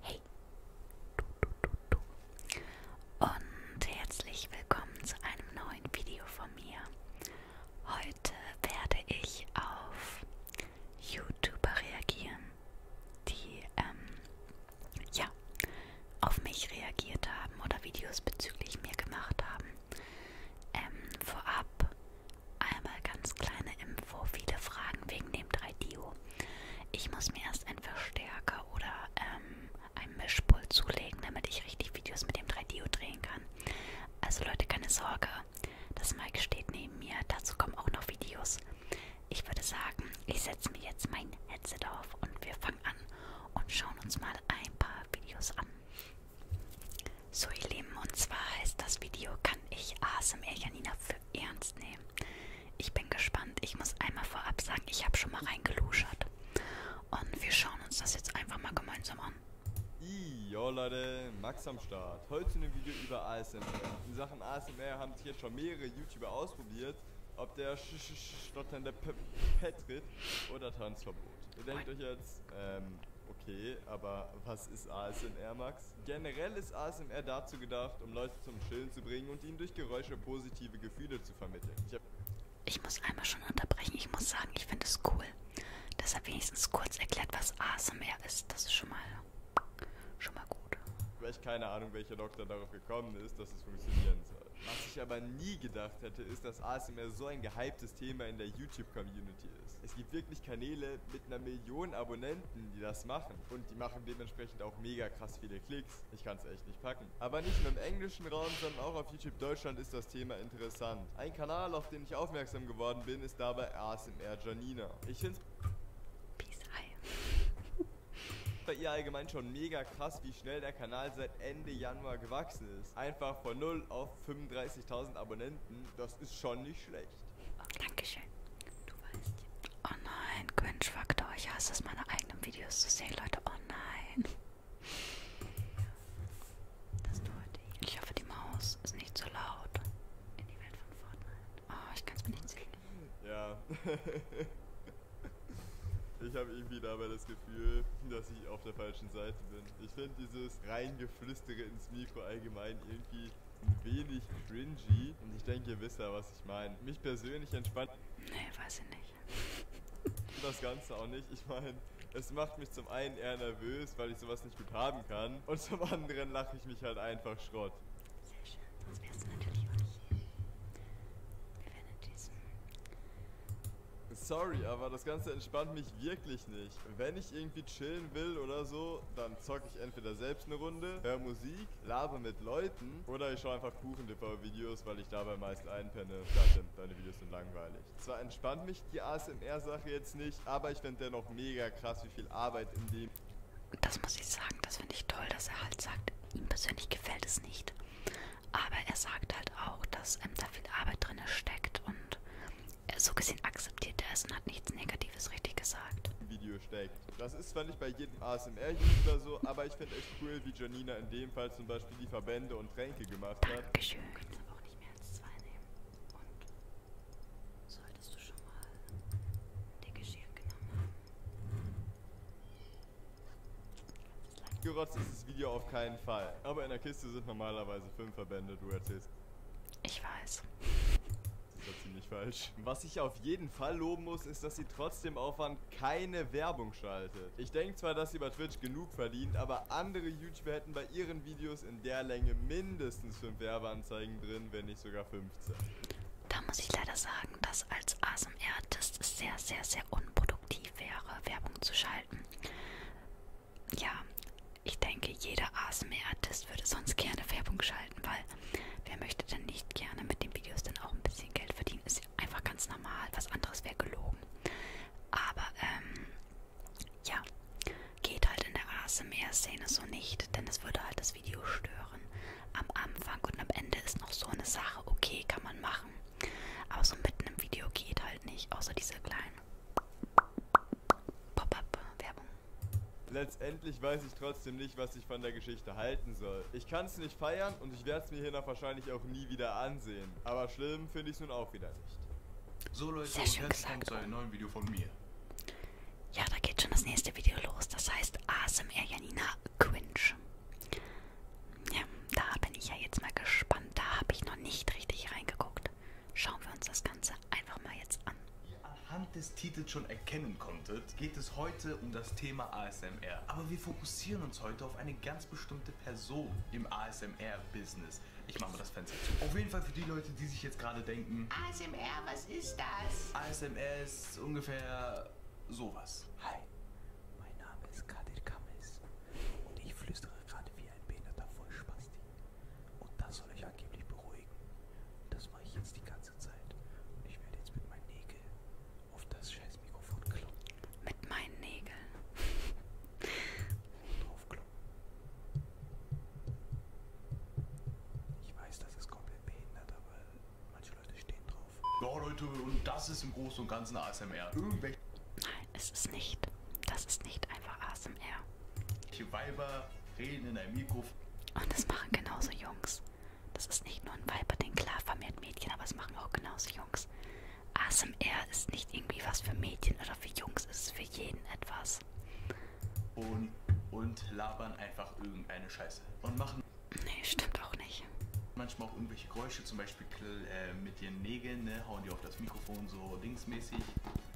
Hey und herzlich willkommen zu einem neuen Video von mir. Heute werde ich auf YouTuber reagieren, die ähm, ja auf mich reagiert haben oder Videos bezüglich mir gemacht haben. Ähm, vorab Einmal ganz kleine Info, viele Fragen wegen dem 3DO. Ich muss mir erst einen Verstärker oder ähm, ein Mischpult zulegen, damit ich richtig Videos mit dem 3DO drehen kann. Also Leute, keine Sorge, das Mic steht neben mir, dazu kommen auch noch Videos. Ich würde sagen, ich setze mir jetzt mein Headset auf und wir fangen an und schauen uns mal ein paar Videos an. So ihr Lieben, und zwar heißt das Video, kann ich ASMR Janina für ernst nehmen. Ich bin gespannt. Ich muss einmal vorab sagen, ich habe schon mal reingeluschert. Und wir schauen uns das jetzt einfach mal gemeinsam an. Jo Leute, Max am Start. Heute ein Video über ASMR. In Sachen ASMR haben sich jetzt schon mehrere YouTuber ausprobiert, ob der sch sch stotternde P Petrit oder Tanzverbot. Ihr denkt euch jetzt, ähm, okay, aber was ist ASMR, Max? Generell ist ASMR dazu gedacht, um Leute zum Chillen zu bringen und ihnen durch Geräusche positive Gefühle zu vermitteln. Ich, ich muss einmal schon unterbrechen. Ich muss sagen, ich finde es cool. Deshalb wenigstens kurz erklärt, was ASMR ist. Das ist schon mal, schon mal gut. Weil ich keine Ahnung, welcher Doktor darauf gekommen ist, dass es funktionieren soll. Was ich aber nie gedacht hätte, ist, dass ASMR so ein gehyptes Thema in der YouTube-Community ist. Es gibt wirklich Kanäle mit mit einer Million Abonnenten, die das machen. Und die machen dementsprechend auch mega krass viele Klicks. Ich kann es echt nicht packen. Aber nicht nur im englischen Raum, sondern auch auf YouTube Deutschland ist das Thema interessant. Ein Kanal, auf den ich aufmerksam geworden bin, ist dabei ASMR Janina. Ich finde bei ihr allgemein schon mega krass, wie schnell der Kanal seit Ende Januar gewachsen ist. Einfach von 0 auf 35.000 Abonnenten, das ist schon nicht schlecht weißt. Oh, Dankeschön. Du weißt. Oh nein, Cringe-Faktor. Ich hasse es, meine eigenen Videos zu sehen, Leute. Oh nein. Das heute ich hoffe, die Maus ist nicht so laut. In die Welt von Fortnite. Oh, ich kann es mir nicht sehen. Ja. Ich habe irgendwie dabei das Gefühl, dass ich auf der falschen Seite bin. Ich finde dieses reingeflüstere ins Mikro allgemein irgendwie ein wenig cringy. Und ich denke, ihr wisst ja, was ich meine. Mich persönlich entspannt. Nee, weiß ich nicht. das Ganze auch nicht. Ich meine, es macht mich zum einen eher nervös, weil ich sowas nicht gut haben kann. Und zum anderen lache ich mich halt einfach Schrott. Sehr schön, sonst wärst du natürlich auch nicht hier. Wir wären in diesem. Sorry, aber das Ganze entspannt mich wirklich nicht. Wenn ich irgendwie chillen will oder so, dann dann zocke ich entweder selbst eine Runde, höre Musik, laber mit Leuten oder ich schaue einfach Kuchen-Dipper-Videos, weil ich dabei meist einpenne. Platin, deine Videos sind langweilig. Zwar entspannt mich die ASMR-Sache jetzt nicht, aber ich finde dennoch mega krass, wie viel Arbeit in dem... Das muss ich sagen, das finde ich toll, dass er halt sagt, ihm persönlich gefällt es nicht. Aber er sagt halt auch, dass ähm, da viel Arbeit drin steckt und äh, so gesehen akzeptiert er es und hat nichts Negatives richtig gesagt. Video Video steckt. Das ist zwar nicht bei jedem ASMR-User so, aber ich finde es cool, wie Janina in dem Fall zum Beispiel die Verbände und Tränke gemacht hat. Dankeschön. Du kannst aber auch nicht mehr als zwei nehmen. Und solltest du schon mal den Geschirr genommen haben. Gerotzt ist das Video auf keinen Fall. Aber in der Kiste sind normalerweise fünf Verbände, du erzählst. Ich weiß. Das war ziemlich falsch. Was ich auf jeden Fall loben muss, ist, dass sie trotzdem Aufwand keine Werbung schaltet. Ich denke zwar, dass sie bei Twitch genug verdient, aber andere YouTuber hätten bei ihren Videos in der Länge mindestens 5 Werbeanzeigen drin, wenn nicht sogar 15. Da muss ich leider sagen, dass als ASMR-Artist es sehr, sehr, sehr unproduktiv wäre, Werbung zu schalten. Ja, ich denke, jeder ASMR-Artist würde sonst gerne Werbung schalten, weil wer möchte denn nicht gerne mit den Videos dann auch ein bisschen Geld verdienen? Ist ja einfach ganz normal, was anderes wäre gelogen. Aber, ähm, ja, geht halt in der ASMR-Szene so nicht, denn es würde halt das Video stören. Am Anfang und am Ende ist noch so eine Sache, okay, kann man machen. Aber so mitten im Video geht halt nicht, außer diese kleinen Pop-up-Werbung. Letztendlich weiß ich trotzdem nicht, was ich von der Geschichte halten soll. Ich kann es nicht feiern und ich werde es mir hiernach wahrscheinlich auch nie wieder ansehen. Aber schlimm finde ich es nun auch wieder nicht. So Leute, Sehr und herzlich willkommen zu einem neuen Video von mir. Ja, da geht schon das nächste Video los. Das heißt ASMR Janina Quinch. Ja, da bin ich ja jetzt mal gespannt. Da habe ich noch nicht richtig reingeguckt. Schauen wir uns das Ganze einfach mal jetzt an. Ihr anhand des Titels schon erkennen konntet, geht es heute um das Thema ASMR. Aber wir fokussieren uns heute auf eine ganz bestimmte Person im ASMR-Business. Ich mache mal das Fenster zu. Auf jeden Fall für die Leute, die sich jetzt gerade denken, ASMR, was ist das? ASMR ist ungefähr sowas. Hi, mein Name ist Kadir Kamis und ich flüstere gerade wie ein behinderter Vollspasti. Und das soll euch angeblich beruhigen. Das mache ich jetzt die ganze Zeit. Und ich werde jetzt mit meinen Nägeln auf das scheiß Mikrofon kloppen. Mit meinen Nägeln. drauf kloppen. Ich weiß, das ist komplett behindert, aber manche Leute stehen drauf. Ja, Leute, und das ist im Großen und Ganzen ASMR. Irgendwelche Nein, es ist nicht. Das ist nicht einfach ASMR. Weiber reden in einem Mikrofon. Und das machen genauso Jungs. Das ist nicht nur ein Weiberding, klar vermehrt Mädchen, aber es machen auch genauso Jungs. ASMR ist nicht irgendwie was für Mädchen oder für Jungs, es ist für jeden etwas. Und, und labern einfach irgendeine Scheiße. Und machen. Nee, stimmt auch nicht. Manchmal auch irgendwelche Geräusche, zum Beispiel äh, mit den Nägeln, ne, hauen die auf das Mikrofon so linksmäßig.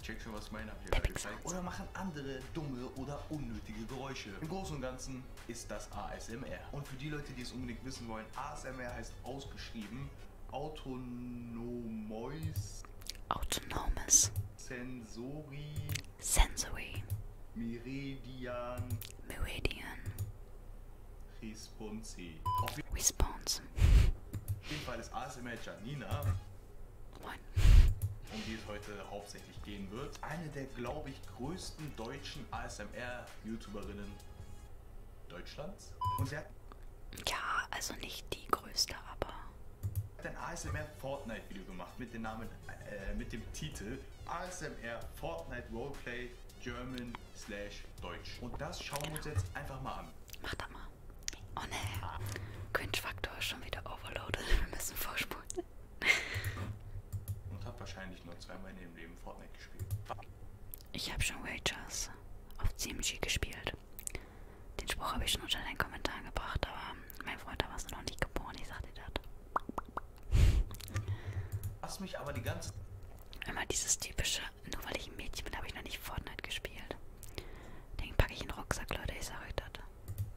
Check schon, was mein Abhörer gezeigt Oder machen andere dumme oder unnötige Geräusche. Im Großen und Ganzen ist das ASMR. Und für die Leute, die es unbedingt wissen wollen, ASMR heißt ausgeschrieben autonomois autonomes sensori sensory meridian meridian responsi Response. Auf jeden Fall ist ASMR Janina Moin. Um die es heute hauptsächlich gehen wird. Eine der, glaube ich, größten deutschen ASMR-YouTuberinnen Deutschlands. Und sie hat ja, also nicht die größte, aber. Hat ein ASMR Fortnite Video gemacht mit dem Namen, äh, mit dem Titel ASMR Fortnite Roleplay German slash Deutsch. Und das schauen genau. wir uns jetzt einfach mal an. Mach da mal. Oh ne, Cringe-Faktor ist schon wieder overloaded. Wir müssen vorspulen. Und hab wahrscheinlich nur zweimal in dem Leben Fortnite gespielt. Ich habe schon Wagers auf CMG gespielt. Den Spruch habe ich schon unter den Kommentaren gebracht, aber mein Freund, da warst du noch nicht geboren, ich sag dir das. Lass mich aber die ganze. Immer dieses typische, nur weil ich ein Mädchen bin, habe ich noch nicht Fortnite gespielt. Den packe ich in den Rucksack, Leute, ich sag euch das.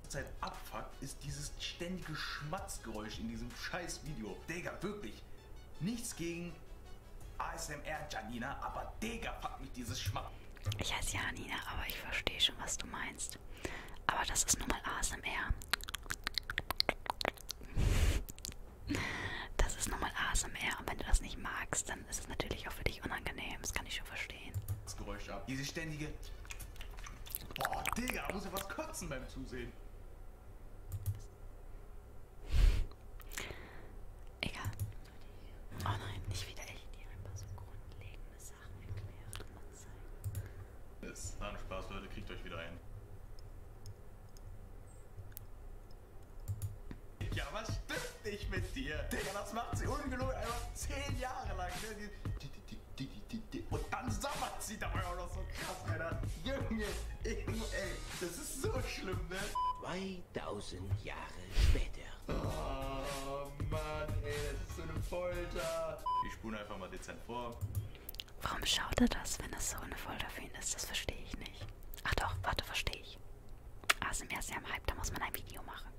Zeit abfuckt, ist dieses ständige Schmatzgeräusch in diesem scheiß Video. Digga, wirklich. Nichts gegen ASMR Janina, aber Digga, fuck mich dieses Schmatz. Ich heiße Janina, aber ich verstehe schon, was du meinst. Aber das ist nun mal ASMR. Das ist nun mal ASMR und wenn du das nicht magst, dann ist es natürlich auch für dich unangenehm. Das kann ich schon verstehen. Das Geräusch ab. Diese ständige. Boah, Digga, muss ja was kotzen beim Zusehen. Egal. Oh nein, nicht wieder ich. dir ein paar so grundlegende Sachen erklären und zeigen. Das war ein Spaß, Leute. Kriegt euch wieder ein. Ja, was stimmt? nicht mit dir. Digga, das macht sie ungelogen einfach zehn Jahre lang. Ne? Und dann sabbert sie dabei auch noch so krass, Alter. Junge, ey, das ist so schlimm, ne? 2000 Jahre später. Oh Mann, ey, das ist so eine Folter. Ich spule einfach mal dezent vor. Warum schaut er das, wenn das so eine Folter für ihn ist? Das verstehe ich nicht. Ach doch, warte, verstehe ich. ASMR ah, ist ja im Hype, da muss man ein Video machen.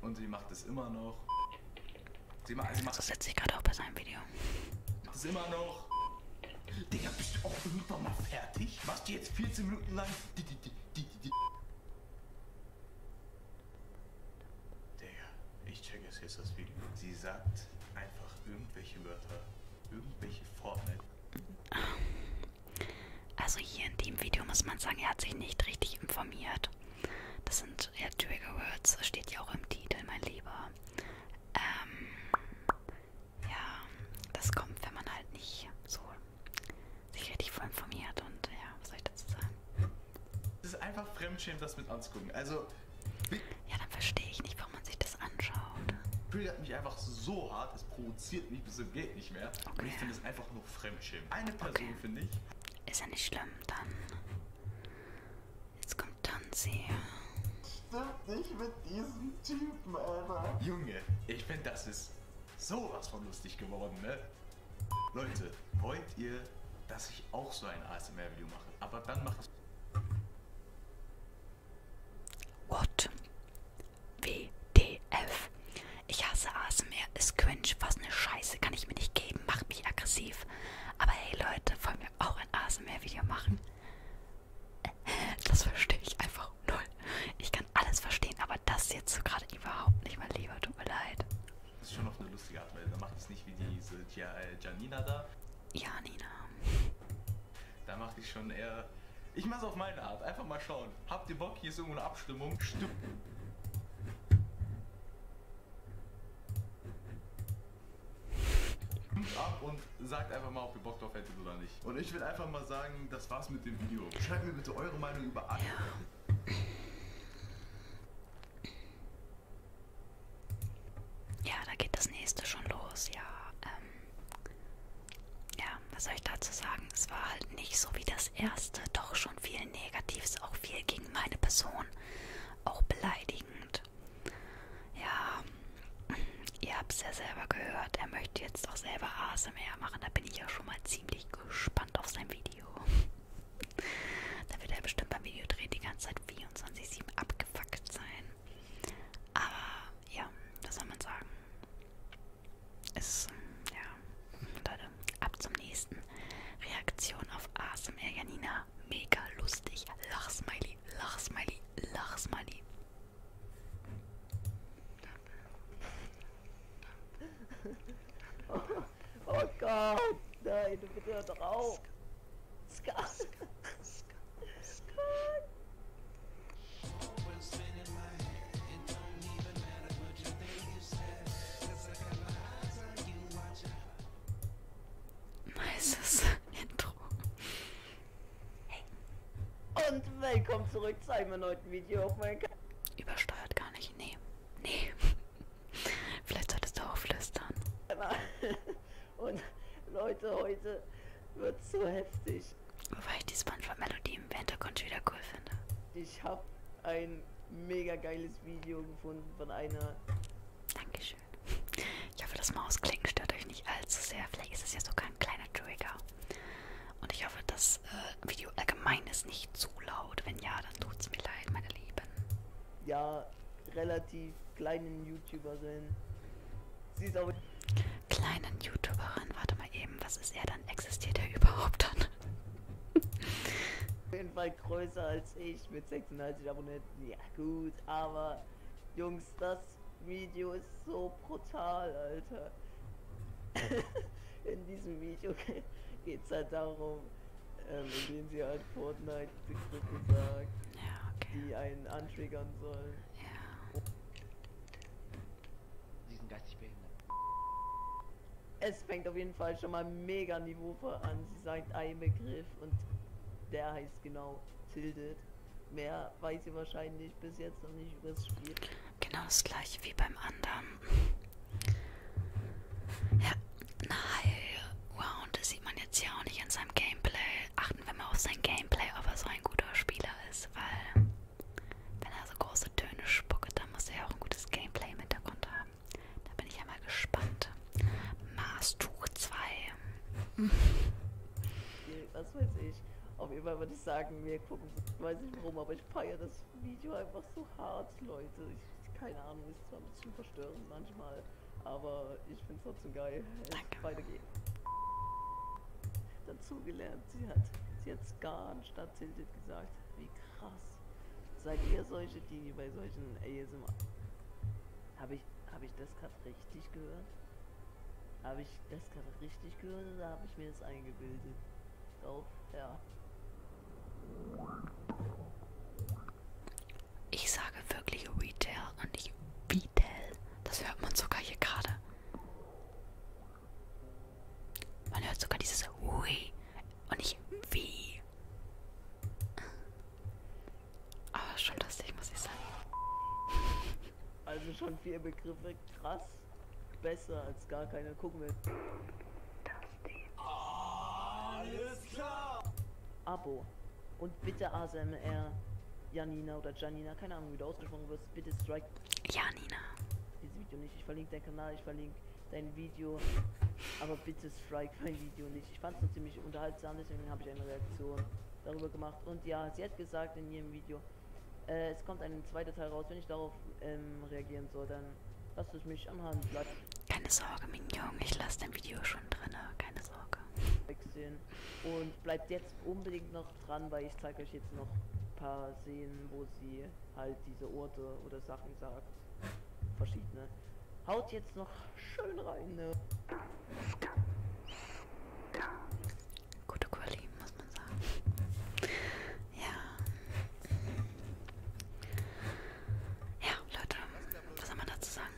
Und sie macht es immer noch. Sie, ma sie macht das setzt sich gerade auch bei seinem Video. Macht es immer noch. Digga, bist du auch irgendwann mal fertig? Machst du jetzt 14 Minuten lang die, die, die, die, die, Digga, ich check es jetzt das Video. Sie sagt einfach irgendwelche Wörter. Irgendwelche Fortnite. Also hier in dem Video muss man sagen, er hat sich nicht richtig informiert. Das sind ja Trigger Words, das steht ja auch im Titel, mein Lieber. Ähm, ja, das kommt, wenn man halt nicht so sich richtig voll informiert und ja, was soll ich dazu sagen? Es ist einfach fremdschämt, das mit anzugucken. Also. Ja, dann verstehe ich nicht, warum man sich das anschaut. Prügelt mich einfach so hart, es provoziert provoziert mich bis zum Geld nicht mehr. Okay. Und ich finde es einfach nur Fremdschirm. Eine Person, okay. finde ich. Ist ja nicht schlimm, dann. Jetzt kommt Tanzi. Stimmt nicht mit diesem Typen, Alter. Junge, ich finde, das ist sowas von lustig geworden, ne? Leute, wollt ihr, dass ich auch so ein ASMR-Video mache? Aber dann mach es. What? WTF. Ich hasse ASMR, ist cringe, was eine Scheiße, kann ich mir nicht geben, macht mich aggressiv. Aber hey Leute, wollen wir auch ein ASMR-Video machen? Das verstehe ich einfach null. Ich kann alles verstehen, aber das jetzt so gerade überhaupt nicht, mein Lieber, tut mir leid. Das ist schon noch eine lustige Art, weil dann macht es nicht wie diese äh, Janina da. Janina. Da mache ich schon eher. Ich mache es auf meine Art. Einfach mal schauen. Habt ihr Bock? Hier ist irgendwo eine Abstimmung. Stimmt. ab und sagt einfach mal, ob ihr Bock drauf hättet oder nicht. Und ich will einfach mal sagen, das war's mit dem Video. Schreibt mir bitte eure Meinung über alle. Ja, da geht das nächste schon los, ja. Ähm ja, was soll ich dazu sagen? Es war halt nicht so wie das erste, doch schon viel Negatives, auch viel gegen meine Person, auch beleidigend. Ja, ihr habt es ja selber gehört, er möchte jetzt auch selber ASMR machen, da bin ich ja schon mal ziemlich gespannt auf sein Video. da wird er bestimmt beim Videodreh die ganze Zeit 24-7 abgefuckt sein. Aber ja, was soll man sagen? ist, ja, Leute, ab zum nächsten. Reaktion auf ASMR Janina. Mega lustig. Lachsmiley, Lachsmiley, Lachsmiley. Oh, oh Gott, nein, du bitte hör doch auf. Skar. Skar. Skar. Skar. Nices Intro. Hey. Und willkommen zurück zu einem neuen Video auf meinem Kanal. Übersteuert gar nicht. Nee. Nee. Vielleicht solltest du auch flüstern. Und Leute, heute wird so heftig. Wobei ich die Spongebob-Melodie im Hintergrund wieder cool finde. Ich habe ein mega geiles Video gefunden von einer. Dankeschön. Ich hoffe, das Mausklicken stört euch nicht allzu sehr. Vielleicht ist es ja sogar ein kleiner Trigger. Und ich hoffe, das äh, Video allgemein ist nicht zu laut. Wenn ja, dann tut's mir leid, meine Lieben. Ja, relativ kleinen YouTuber sind kleinen YouTuberin. Warte mal eben, was ist er dann? Existiert er überhaupt dann? Auf jeden Fall größer als ich mit 36 Abonnenten. Ja gut, aber Jungs, das Video ist so brutal, Alter. In diesem Video geht's halt darum, ähm, indem sie halt Fortnite gesagt, ja, okay. die einen antriggern sollen. Ja. Sie sind geistig behindert. Es fängt auf jeden Fall schon mal mega Niveauvoll an. Sie sagt einen Begriff und der heißt genau Tilted. Mehr weiß sie wahrscheinlich bis jetzt noch nicht über das Spiel. Genau das gleiche wie beim anderen. Ja, eine Heilround sieht man jetzt ja auch nicht in seinem Gameplay achten wir mal auf sein Gameplay, ob er so ein guter Spieler ist, weil wenn er so große Töne spuckt, dann muss er ja auch ein gutes Gameplay im Hintergrund haben. Da bin ich ja mal gespannt. Maßtuch 2. Was weiß ich. Auf jeden Fall würde ich sagen, wir gucken, weiß nicht warum, aber ich feiere das Video einfach so hart, Leute. Ich, keine Ahnung, ist zwar ein bisschen verstörend manchmal, aber ich finde es trotzdem geil. Danke. Weiter geht's dazugelernt. Sie hat, sie hat Skan statt Tilted gesagt. Wie krass. Seid ihr solche, die bei solchen ASMR... Habe ich, hab ich das gerade richtig gehört? Habe ich das gerade richtig gehört oder habe ich mir das eingebildet? Doch, ja. Ich sage wirklich Retail und nicht Retail. Das hört man sogar hier gerade. Man hört sogar dieses Hui und nicht Wie. Aber schon lustig, muss ich sagen. Also schon vier Begriffe krass. Besser als gar keiner. Gucken wir. Alles klar! Abo. Und bitte ASMR. Janina oder Janina, keine Ahnung, wie du ausgesprochen wirst. Videos. Bitte strike. Ja, Nina. Dieses Video nicht. Ich verlinke deinen Kanal, ich verlinke dein Video. Aber bitte strike mein Video nicht. Ich fand es ziemlich unterhaltsam, deswegen habe ich eine Reaktion darüber gemacht. Und ja, sie hat gesagt in ihrem Video, äh, es kommt ein zweiter Teil raus. Wenn ich darauf ähm, reagieren soll, dann lasst es mich am Hand bleiben. Keine Sorge, mein Junge, ich lasse dein Video schon drin. Keine Sorge. Und bleibt jetzt unbedingt noch dran, weil ich zeige euch jetzt noch ein paar Szenen, wo sie halt diese Orte oder Sachen sagt. Verschiedene. Haut jetzt noch schön rein, ne? Gute Quali, muss man sagen. Ja. Ja, Leute, was soll man dazu sagen?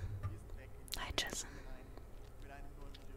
Hi, Jason.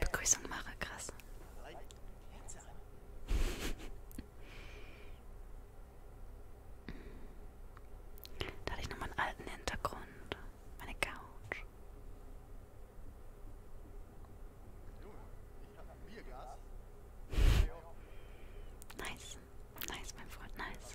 Begrüßung mache, krass. Da hatte ich nochmal einen alten Hintergrund. Meine Couch. Nice. Nice, mein Freund, nice. Nice.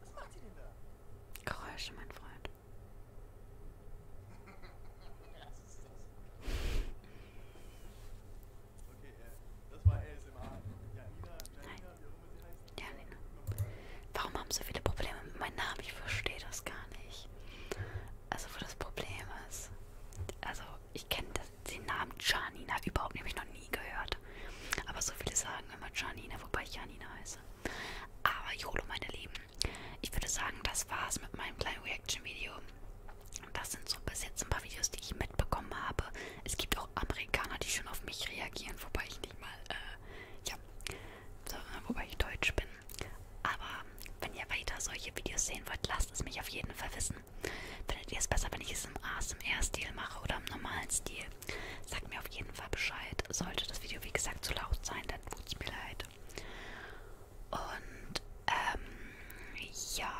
Was macht sie denn da? Geräusche, mein Freund. Was ist das? Okay, das war ASMR. Janina, Janina, wie auch immer sie heißt. Janina. Warum haben so viele Probleme mit meinem Namen? Ich verstehe das gar nicht. Also, wo das Problem ist. Also, ich kenne den Namen Janina überhaupt nämlich noch nie gehört. Aber so viele sagen immer Janina, wobei ich Janina heiße. Aber Jolo, meine Lieben, ich würde sagen, das war's mit meinem kleinen Reaction-Video. Das sind so bis jetzt ein paar Videos, die ich mitbekommen habe. Es gibt auch Amerikaner, die schon auf mich reagieren, wobei ich nicht mal, äh, ja, so, wobei ich Deutsch bin. Aber wenn ihr weiter solche Videos sehen wollt, lasst es mich auf jeden Fall wissen. Findet ihr es besser, wenn ich es im ASMR-Stil mache oder im normalen Stil? Sagt mir auf jeden Fall Bescheid. Sollte das Video, wie gesagt, zu laut sein, dann tut's mir leid. Und, ähm, ja.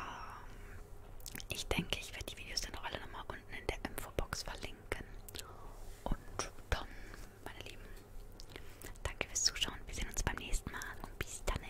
Ich denke, ich werde die Videos dann auch alle nochmal unten in der Infobox verlinken. Und dann, meine Lieben, danke fürs Zuschauen. Wir sehen uns beim nächsten Mal und bis dann.